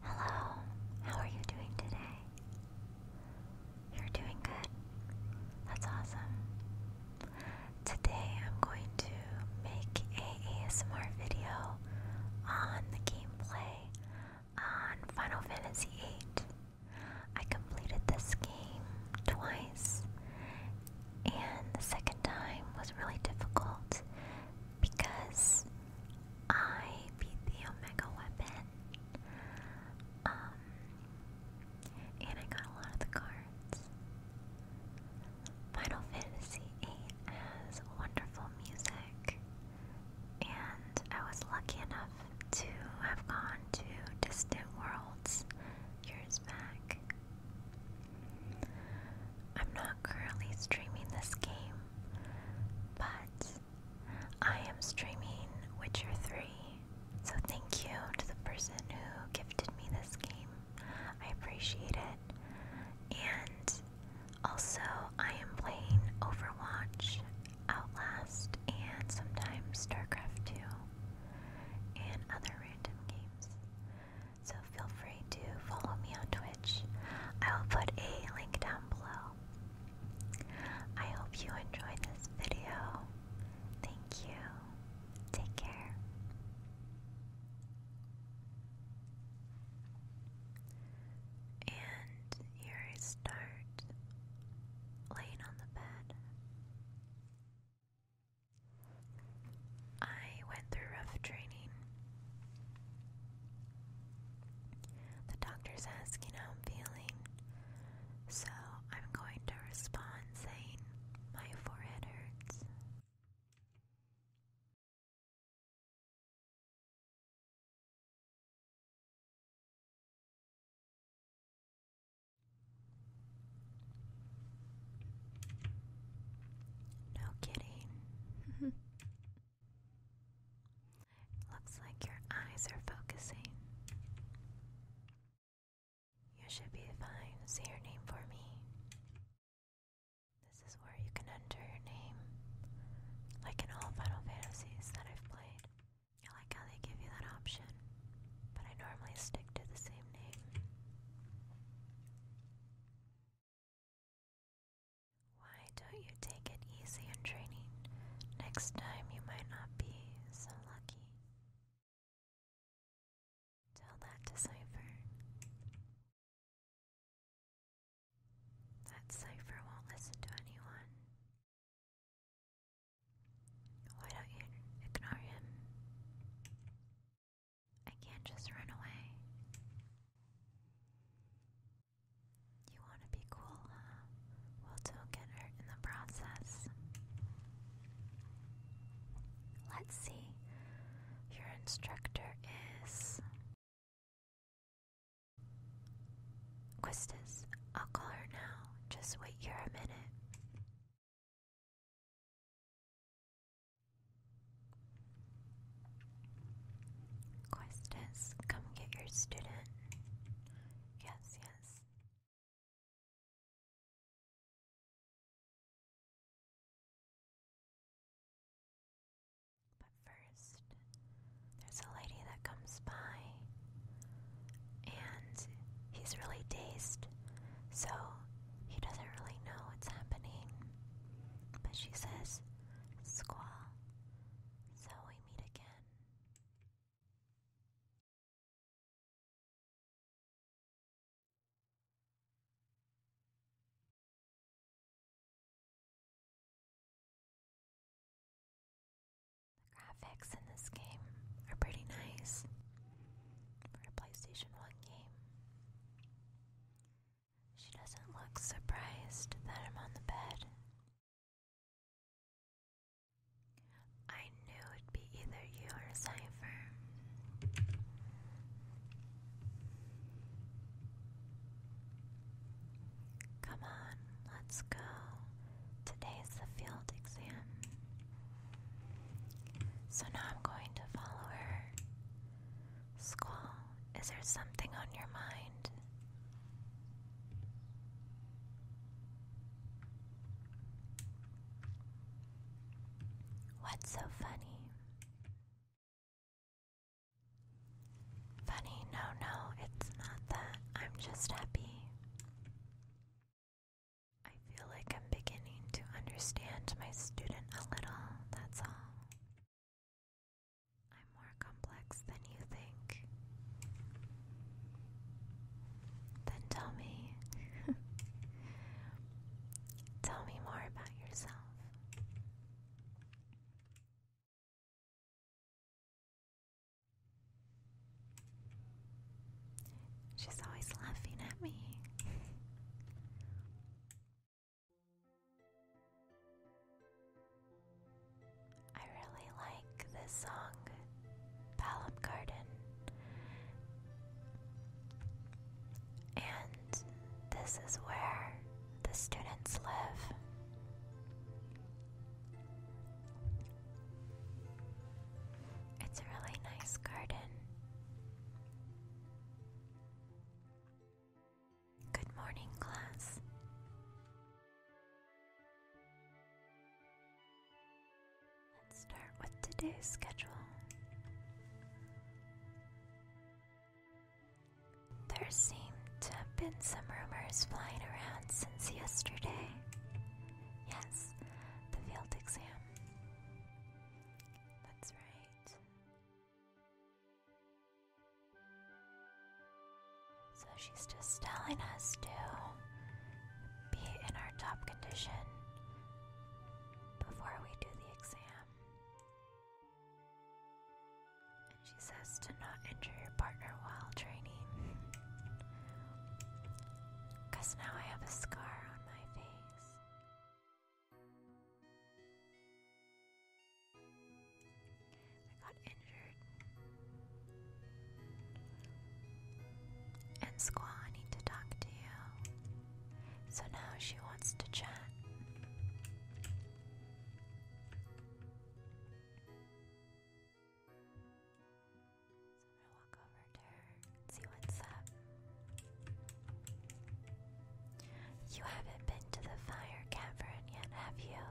Hello, how are you doing today? You're doing good. That's awesome. Today I'm going to make a ASMR video on the gameplay on Final Fantasy VIII. I completed this game twice, and the second time was really difficult because I beat the Omega Weapon. Um, and I got a lot of the cards. Final Fantasy VIII has wonderful music, and I was lucky enough to have gone to Distant Worlds years back. I'm not currently streaming this game, but I am streaming Witcher 3. So thank you to the person who gifted me this game. I appreciate it. And also, I am playing Overwatch, Outlast, and sometimes StarCraft 2 and other random games so feel free to follow me on Twitch. I will put a link down below. I hope you enjoyed this video. Thank you. Take care. And here I start laying on the bed. I went through rough training. The doctor's asking how I'm feeling, so I'm going to respond saying, My forehead hurts. No kidding. Looks like your eyes are focusing. You should be fine. Say your name for me. This is where you can enter your name, like in all Final Fantasies that I've played. I like how they give you that option, but I normally stick to the same name. Why don't you take it easy in training? Next time you might not be so lucky. Tell that to Cypher. That Cypher won't listen to anyone. Why don't you ignore him? I can't just run away. You want to be cool, huh? Well, don't get hurt in the process. Let's see. Your instructor is. Quistis. I'll call her now. Just wait here a minute. Questus, come get your student. Yes, yes. But first, there's a lady that comes by, and he's really dazed, so he doesn't really know what's happening. But she says, Squall, so we meet again. The graphics in this game are pretty nice for a PlayStation 1 game. She doesn't look surprised that I'm on the bed. I knew it'd be either you or Cypher. Come on, let's go. Today's the field exam. So now I'm going to follow her. Squall. Is there something on your mind? What's so funny? Funny, no, no, it's not that. I'm just happy. I feel like I'm beginning to understand my student a little, that's all. I'm more complex than you think. Then tell me. tell me more about yourself. She's always laughing at me. I really like this song, Palom Garden. And this is where the students live. It's a really nice garden. Good morning, class. Let's start with today's schedule. There seem to have been some rumors flying around since yesterday. Yes, the field exam. That's right. So she's just telling us to be in our top condition before we do the exam. And she says to not injure your partner while training. Because now I have a scar on my face. I got injured. And Squaw, I need to talk to you. So now she wants to chat. So I'm gonna walk over to her and see what's up. You haven't been to the fire cavern yet, have you?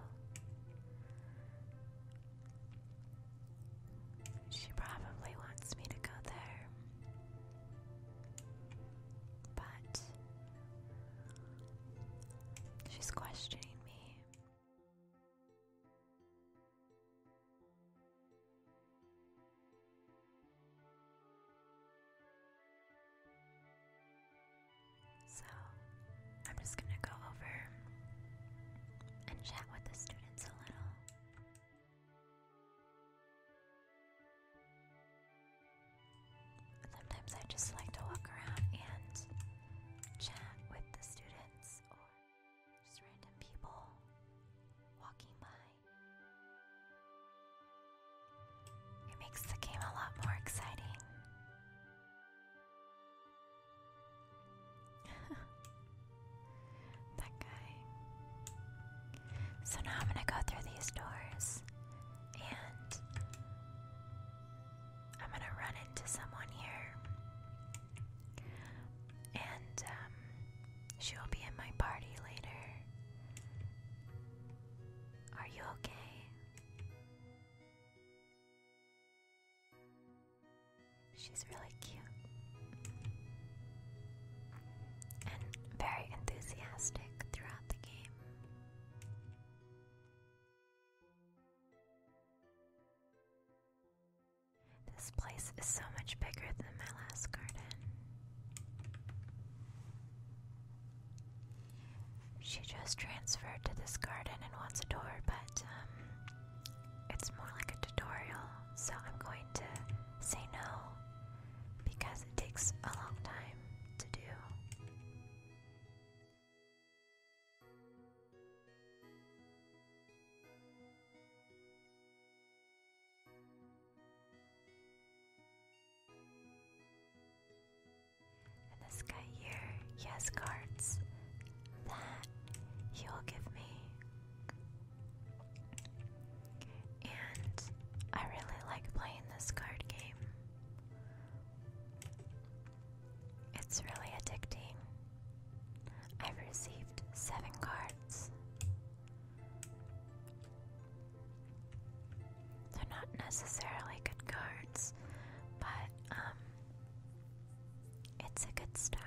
She probably wants me to go there. But she's questioning me. So, I'm just going to go over and chat with the students a little. Sometimes I just like to walk around and chat with the students or just random people walking by. It makes the game a lot more exciting. that guy. So now I'm gonna go through these doors and I'm gonna run into someone here. And um, she will be in my party later. Are you okay? She's really cute and very enthusiastic throughout the game. This place is so much bigger than my last garden. She just transferred to this garden and wants a door, but um, it's more like a tutorial, so I'm going to say no because it takes a long time to do. And this guy here, he has cards that he will give me. And I really like playing this card game. It's really addicting. I've received seven cards. They're not necessarily good cards, but um, it's a good start.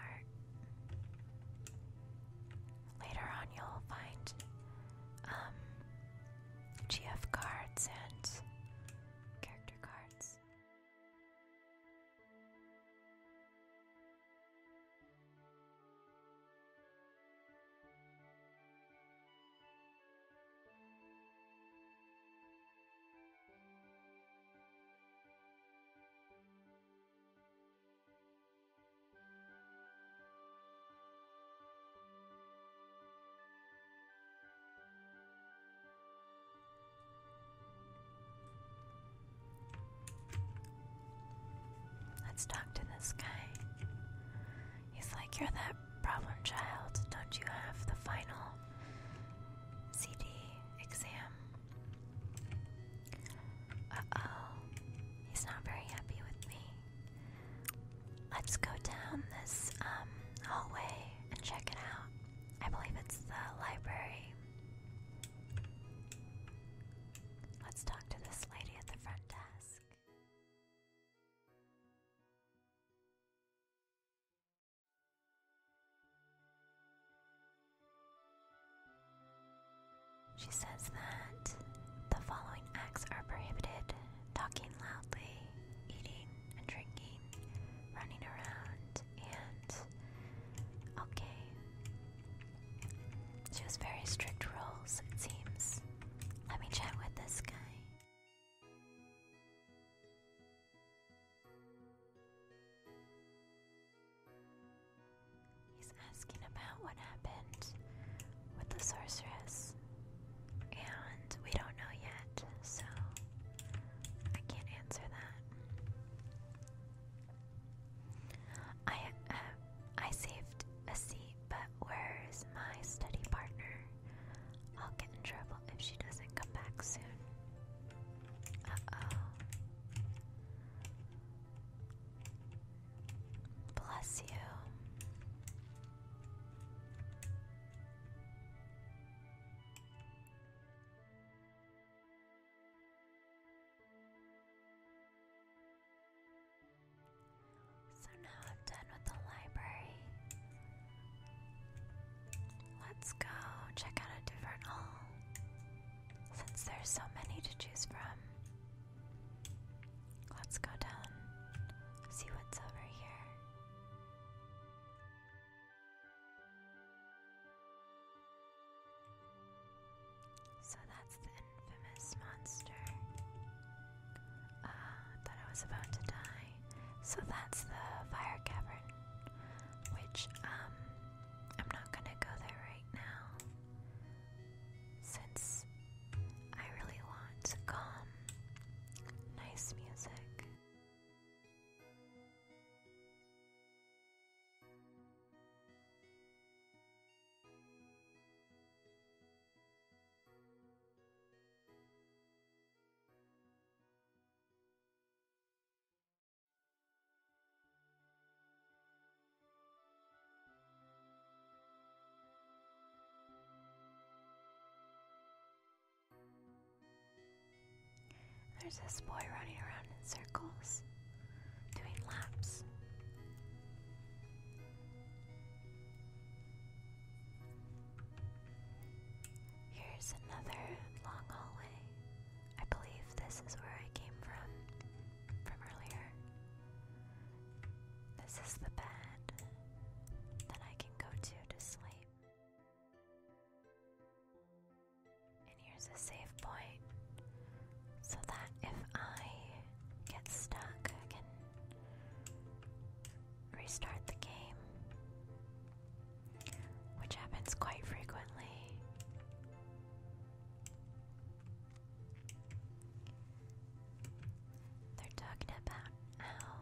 Later on you'll find um, GF cards and character cards. Let's talk to this guy. He's like, You're that Problem child, don't you have the final CD exam? Uh oh, he's not very happy with me. Let's go down this um, hallway and check it out. I believe it's the library. Let's talk to this lady at the front desk. She says that the following acts are prohibited talking loudly, eating and drinking, running around, and. Okay. She has very strict rules, it seems. Let me chat with this guy. He's asking about what happened with the sorceress, and we don't know yet, so I can't answer that. I uh, I saved a seat but where's my study partner? I'll get in trouble if she doesn't come back soon. Uh-oh. Bless you. So now I'm done with the library. Let's go check out a different hall since there's so many to choose from. Let's go down, see what's over here. So that's the infamous monster. Uh, I was about to die. So that's the fire cavern, which um I'm not gonna go there right now since I really want calm, nice music. There's this boy running around in circles, doing laps. Here's another long hallway. I believe this is where I came from from earlier. This is the bed that I can go to to sleep. And here's a save point so that if I get stuck, I restart the game, which happens quite frequently. They're talking about how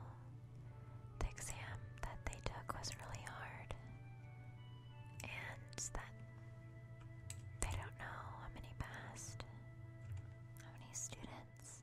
the exam that they took was really hard and that they don't know how many passed, how many students.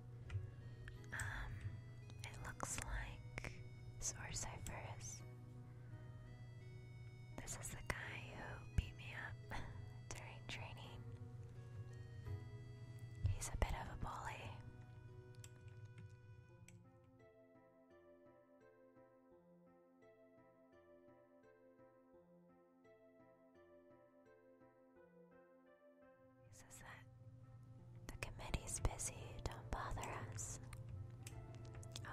Um, it looks like Sorcypherus. This is the guy who beat me up during training. He's a bit of a bully. He says that the committee's busy, don't bother us.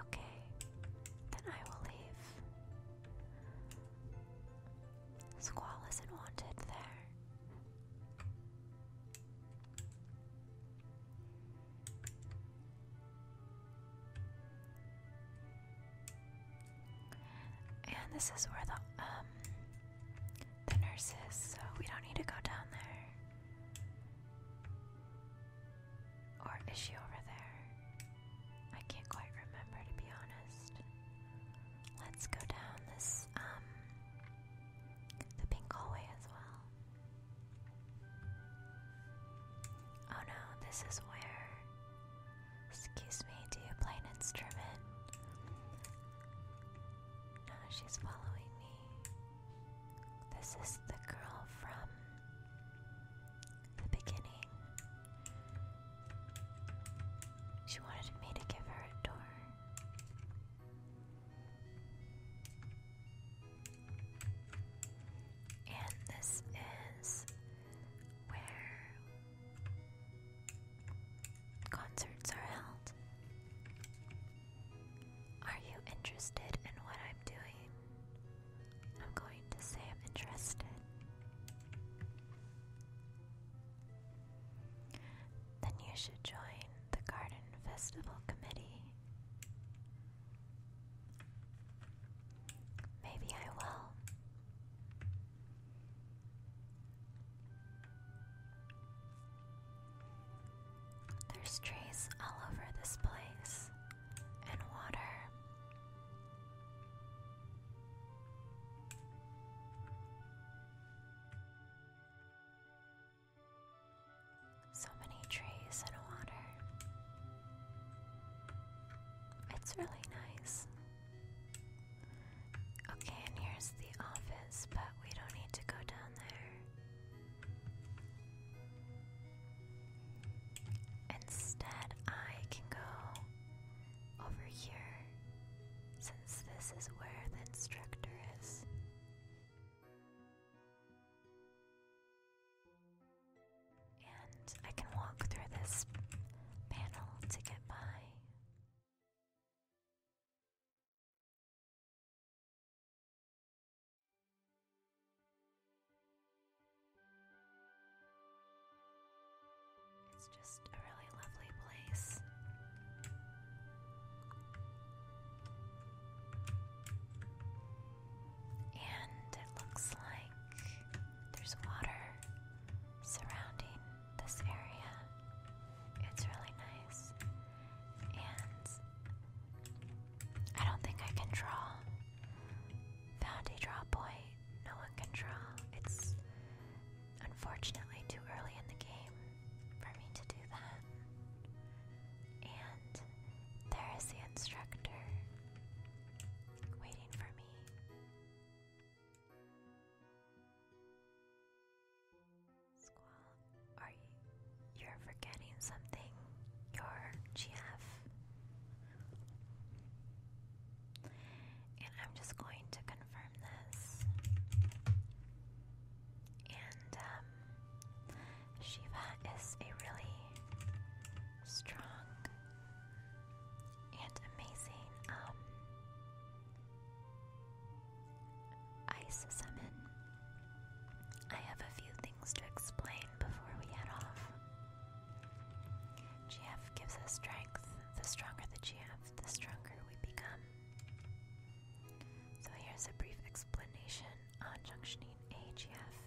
Okay, then I will leave. Squall isn't wanted there. And this is where the um the nurses, so we don't need to go down there. Or is she over there? I can't quite remember to be honest. Let's go down this um the pink hallway as well. Oh no, this is where excuse me, do you play an instrument? Now she's following me. This is the girl from the beginning. She wanted me to give her a door. And this is where concerts are held. Are you interested in what I'm doing? I'm going to say I'm interested. Then you should join the Garden Festival Committee. Maybe I will. There's trees all over this place, and water. So many trees and water. It's really nice. Okay, and here's the office, but we don't need to go down there. Instead, I can go over here since this is where the instructor is. And I can walk through this panel to get by. It's just a really lovely place. And it looks like there's water surrounding this area. It's really nice. And I don't think I can draw. Found a draw point. No one can draw. It's unfortunately too early in the game for me to do that. And there is the instructor waiting for me. Squall, are you? You're forgetting something. Your GF. And I'm just going to confirm this. And um, Shiva is a really strong and amazing um, Ice Summon. I have a few things to explain before we head off. GF gives us strength. The stronger the GF, the stronger we become. So here's a brief explanation on junctioning AGF.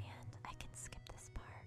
And I can skip this part.